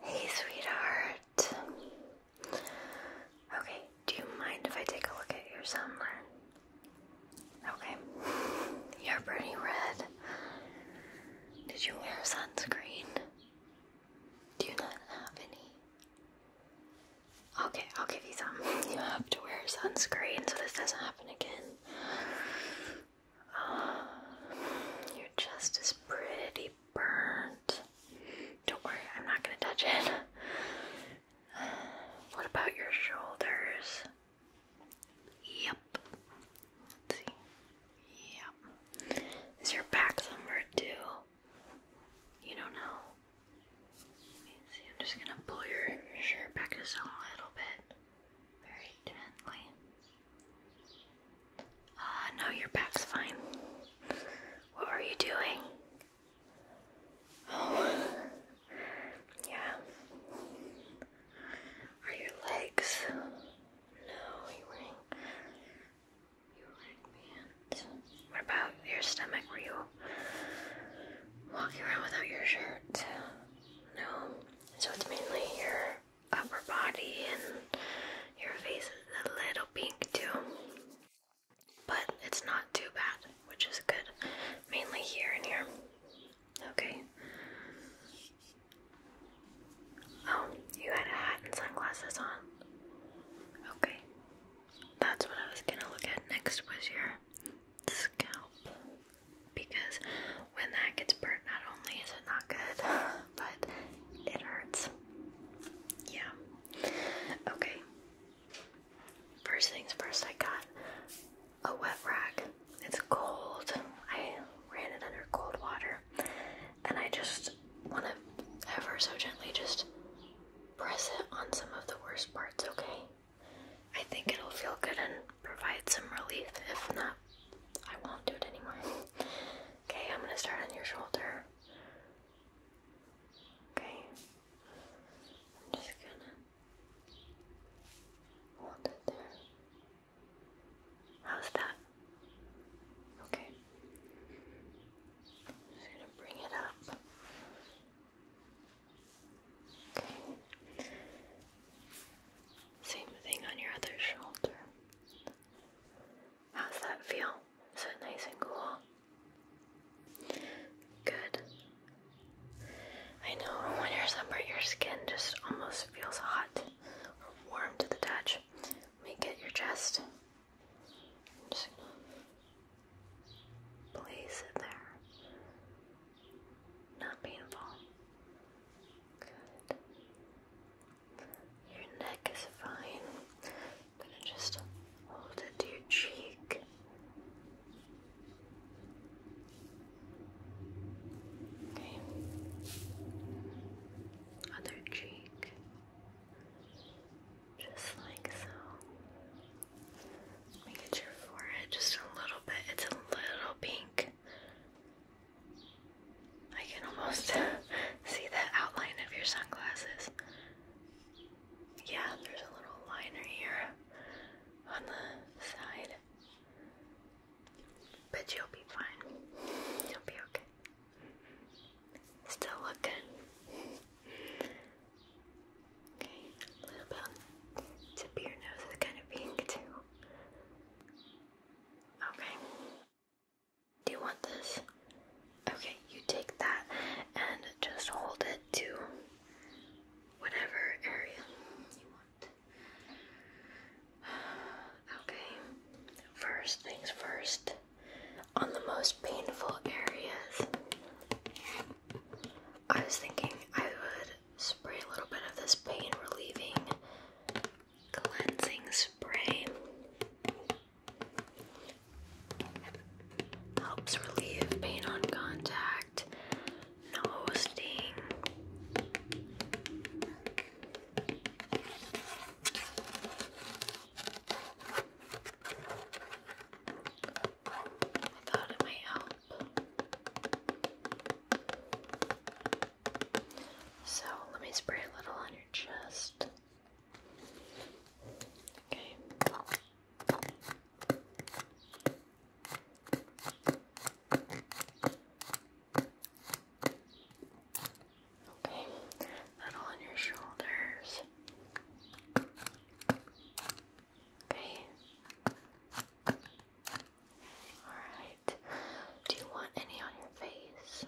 Hey, sweetheart. Okay, do you mind if I take a look at your sunburn? Okay. You're pretty red. Did you wear sunscreen? Do you not have any? Okay, I'll give you some. You have to wear sunscreen so this doesn't happen again. You're just as pretty burnt. Don't worry, I'm not going to touch it. What about your shoulders? Yep. let Yep. Is your back somewhere too? You don't know. see. I'm just gonna pull your shirt back just a little bit, very gently. Ah, oh, no, your back's fine. What were you doing? Oh, yeah. Are your legs? No, you wearing you were What about your stomach? Were you walking around without your shirt? No. So it's mainly your upper body and your face is a little pink too. But it's not too bad, which is good. Mainly here and here. Okay. Oh, you had a hat and sunglasses on. Okay. That's what I was gonna look at next was your scalp. Because when that gets burnt, not only is it not good, but it hurts. Yeah. Okay. First things first, I got a wet rag. It's cold. I ran it under cold water. And I just want to ever so gently just press it on some of the worst parts, okay? I think it'll feel good and provide some relief. If not, I won't do it anymore. okay, I'm gonna start on your shoulder. Okay. I'm just gonna hold it there. How's that? Okay. I'm just gonna bring it up. Okay. Same thing on your other shoulder. How's that feel? Is it nice and cool? Good. I know when you're sunburned, your skin just almost feels hot warm to the touch. Let me get your chest. just place it there. Not painful. Good. Your neck is fine. gonna just hold it to your cheek. Okay. Other cheek. Just like so. Let me get your just a little bit. It's a little pink. I can almost see the outline of your sunglasses. Yeah, there's a little liner here on the side. But you'll be fine. You'll be okay. Still looking. Okay, a little bit tip of your nose is kind of pink too. Okay. Do you want this? Okay, you take that and just hold it to whatever area you want. Okay, first things first, on the most painful areas, I was thinking I would spray a little bit of this pain relieving cleansing spray. Helps relieve pain on contact, no sting. I thought it might help. So let me spray a little on your chest. Okay. Okay, little on your shoulders. Okay. Alright. Do you want any on your face?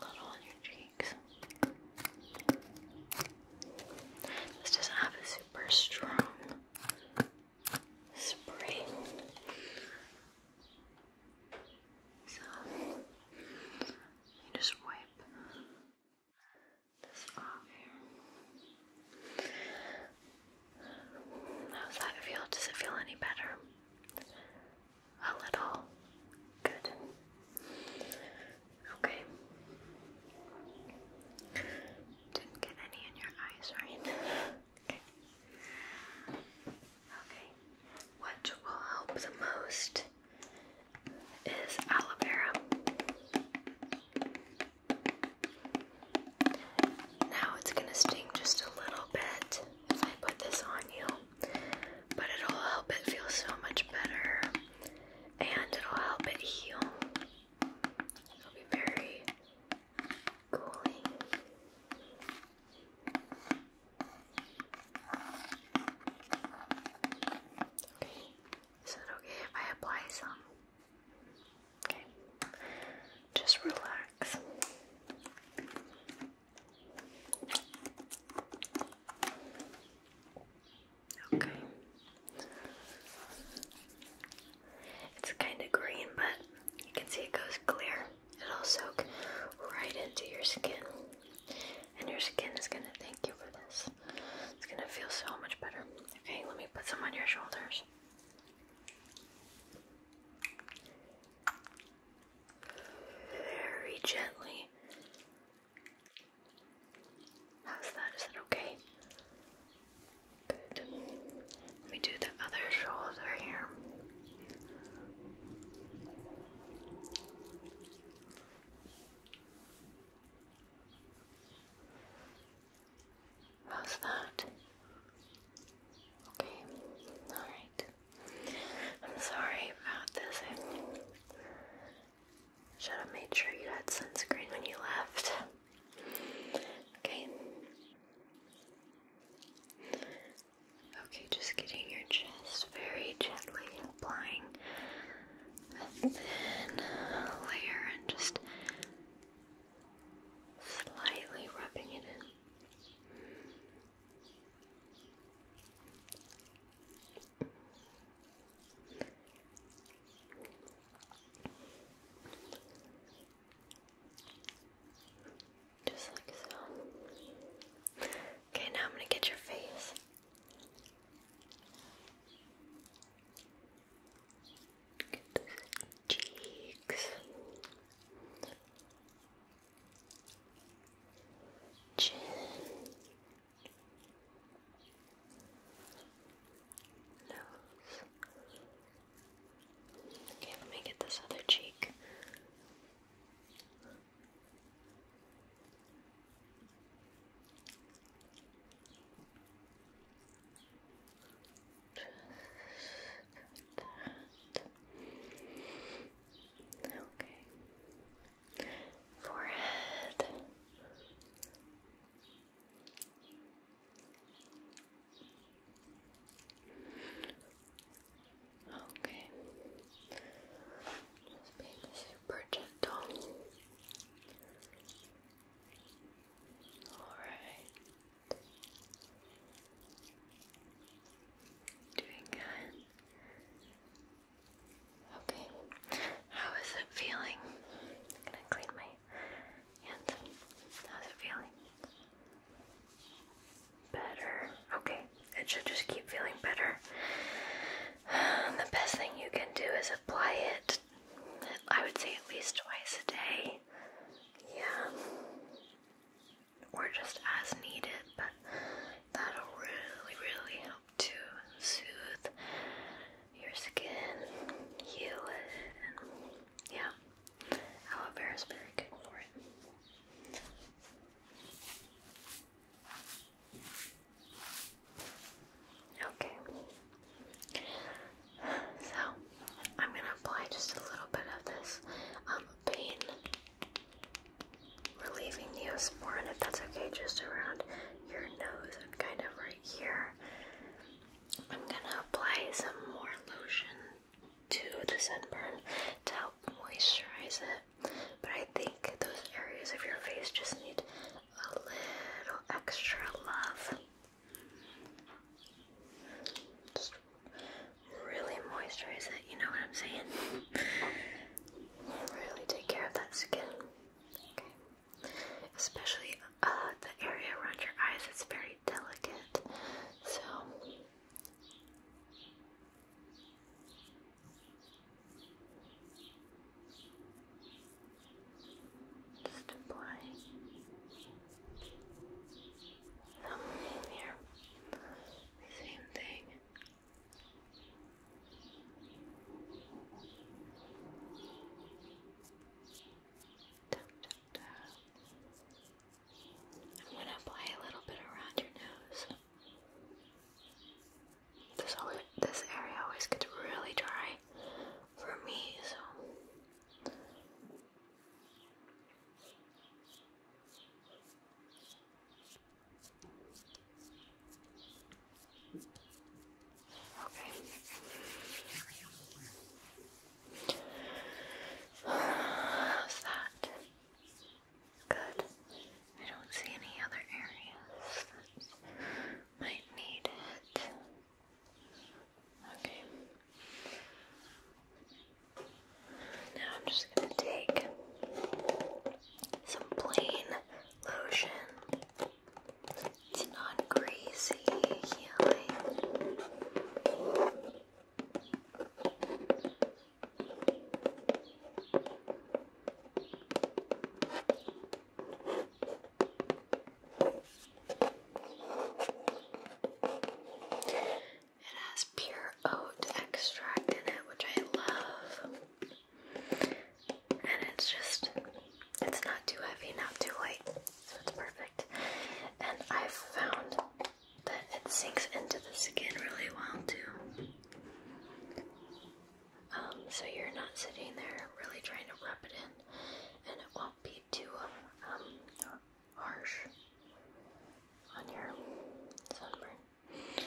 A little on your cheeks. This doesn't have a super strong spray. So you just wipe this off here. How's that feel? Does it feel any better? A little. Good. Okay. Didn't get any in your eyes, right? okay. Okay. What will help the most is aloe vera. Now it's going to sting just a little bit if I put this on you, but it'll help it feel so much better and it'll help it heal. It'll be very cooling. Okay, is that okay if I apply some? Okay, just relax. Okay. It's kind of green, but you can see it goes clear. It'll soak right into your skin. And your skin is going to thank you for this. It's going to feel so much better. Okay, let me put some on your shoulders very gently. How's that? Is that okay? Good. Let me do the other shoulder here. How's that? Okay, alright. I'm sorry about this. should have made sure you had sunscreen when you left. Okay. Okay, just getting your chest very gently applying a layer and just slightly rubbing it in. Just like so. Okay, now I'm going to get your face cheeks, chin, nose. Okay, let me get this other cheek that. Okay. Forehead. Okay. Just being super gentle. All right. Doing good. Okay. How is it feeling? I'm gonna clean my hands. How's it feeling? Better. Okay. It should just keep feeling better. the best thing you can do is apply it I would say at least twice a day. Yeah. Or just as needed, but that'll really, really help to soothe your skin, heal it, yeah. Aloe vera is very good for it. Okay. So I'm gonna apply just a little bit of this um, pain relieving neosporin, if that's okay, just around your nose and kind of right here. I'm gonna apply some more lotion to the sunburn to help moisturize it, but I think those areas of your face just need a little extra love really moisturize it, you know what I'm saying? really take care of that skin. Especially uh, the area around your eyes, it's very delicate. So just apply some here. Same thing. I'm going to apply a little bit around your nose. This, always, this area always gets really dry for me, so Okay. How's that? Good. I don't see any other areas might need it. Okay. Now I'm just going to take some plain lotion. It's not greasy, it has pure oat extract in it, which I love. And it's just, it's not too heavy, not too light, so it's perfect. And I've found that it sinks into the skin really well too. Um, so you're not sitting there really trying to rub it in and it won't be too um, harsh on your sunburn.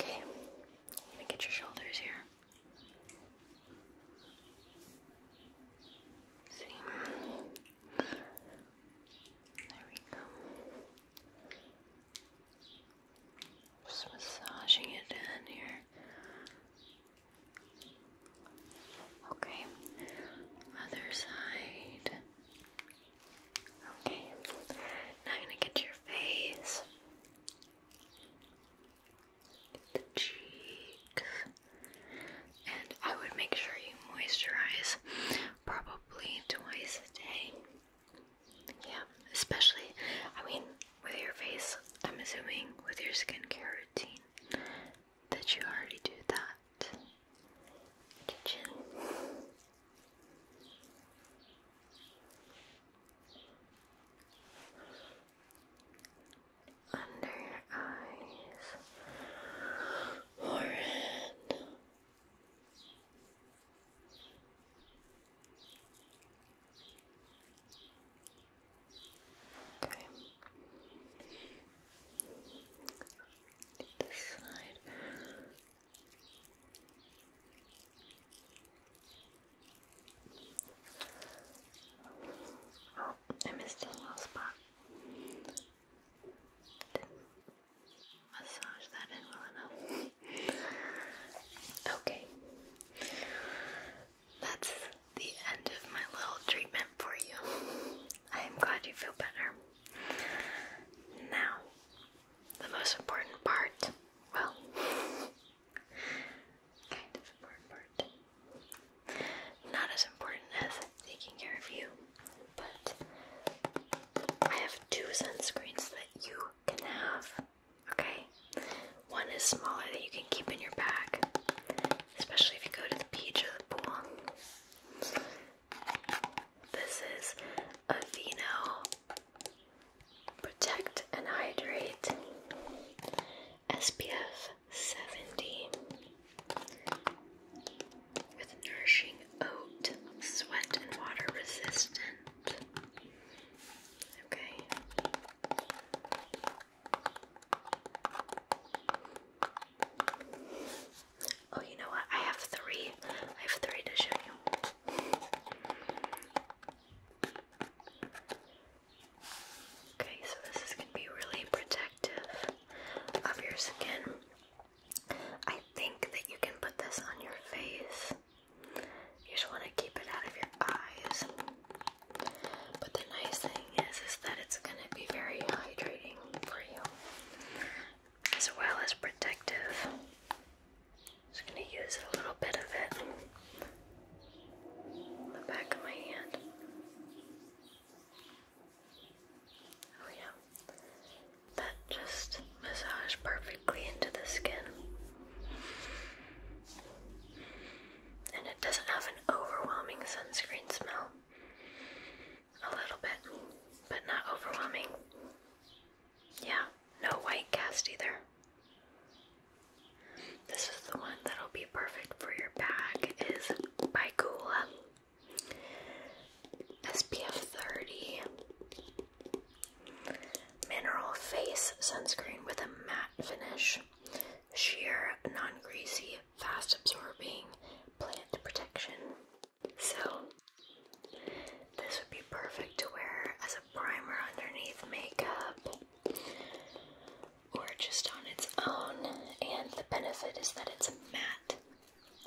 Okay, I'm get your shoulders here. See? There we go. Just massaging it down here. Okay, other side. Okay, now I'm gonna get your face, cheeks, and I would make sure you moisturize probably twice a day. Yeah, especially, I mean, with your face, I'm assuming with your skincare routine that you already do that. Under your eyes, forehead, Okay. This side. Oh, I missed a little spot. massage that in well enough. okay that's the end of my little treatment for you. I am glad you feel better. Now, the most important part, well, kind of important part. Not as important as taking care of you, but I have two sunscreens that you can have. Okay? One is smaller that you can keep in your bag, especially if you go to the beach or the pool. This is a Vino Protect and Hydrate SPF 70 with nourishing oat, sweat and water resistant. Okay. Oh, you know what? I have three. I have three to show you. Okay, so this is going to be really protective of your skin. I think that you can put this on your face. You just want to keep it out of your eyes. But the nice thing is, is that it's going to be very hydrating for you, as well as protective. Just going to use a little bit of it on the back of my hand. Oh yeah, that just massaged perfectly into the skin and it doesn't have an overwhelming sunscreen smell. A little bit, but not overwhelming. Yeah, no white cast either. This is the one that'll be perfect for your bag is by Gula. SPF 30 Mineral Face Sunscreen with a matte finish sheer, non-greasy, fast-absorbing plant protection. So this would be perfect to wear as a primer underneath makeup or just on its own. And the benefit is that it's matte.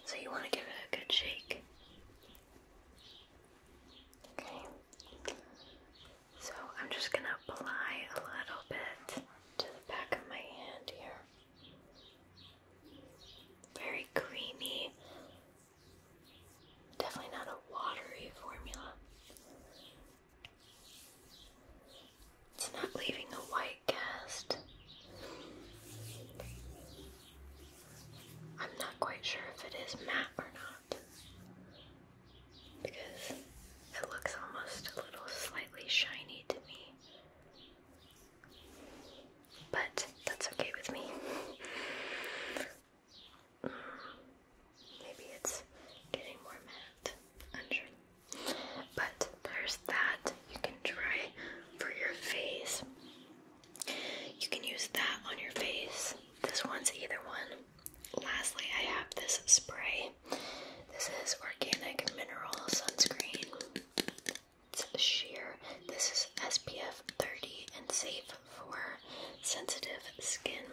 So you want to give it a good shake. Okay. So I'm just going to apply a little bit to the back of my hand here. Very creamy. Definitely not a watery formula. It's not leaving a white cast. I'm not quite sure if it is matte or not. Because it looks almost a little slightly shiny to me. But that's okay with me. Maybe it's getting more matte. Unsure. But there's that you can try for your face. You can use that on your face. This one's either one. Lastly, I have this spray. This is organic mineral sunscreen. It's sheer. This is SPF 30 and safe for sensitive skin.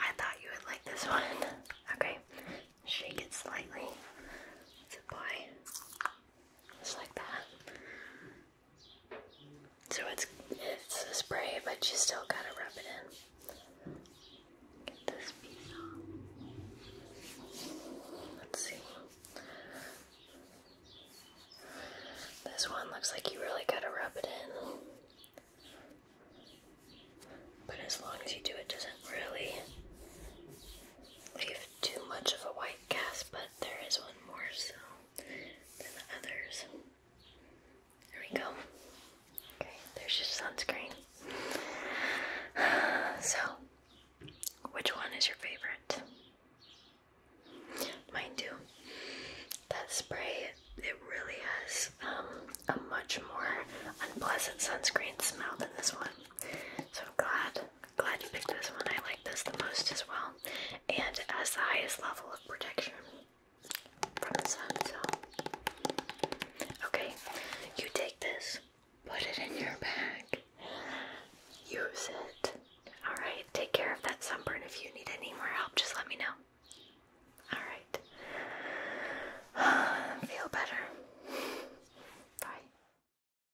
I thought you would like this one. Okay, shake it slightly. let just like that. So it's it's a spray, but you still gotta rub it in. Get this piece off. Let's see. This one looks like you really gotta rub it in. But as long as you do, it doesn't really leave too much of a white cast, but there is one more so than the others. There we go. Okay, there's your sunscreen. So, which one is your favorite? Mine too. That spray, it really has um, a much more unpleasant sunscreen smell than this one. So i glad Glad you picked this one. I like this the most as well. And as the highest level of protection from the sun, so. Okay, you take this, put it in your bag, use it. Alright, take care of that sunburn. If you need any more help, just let me know. Alright. Feel better. Bye.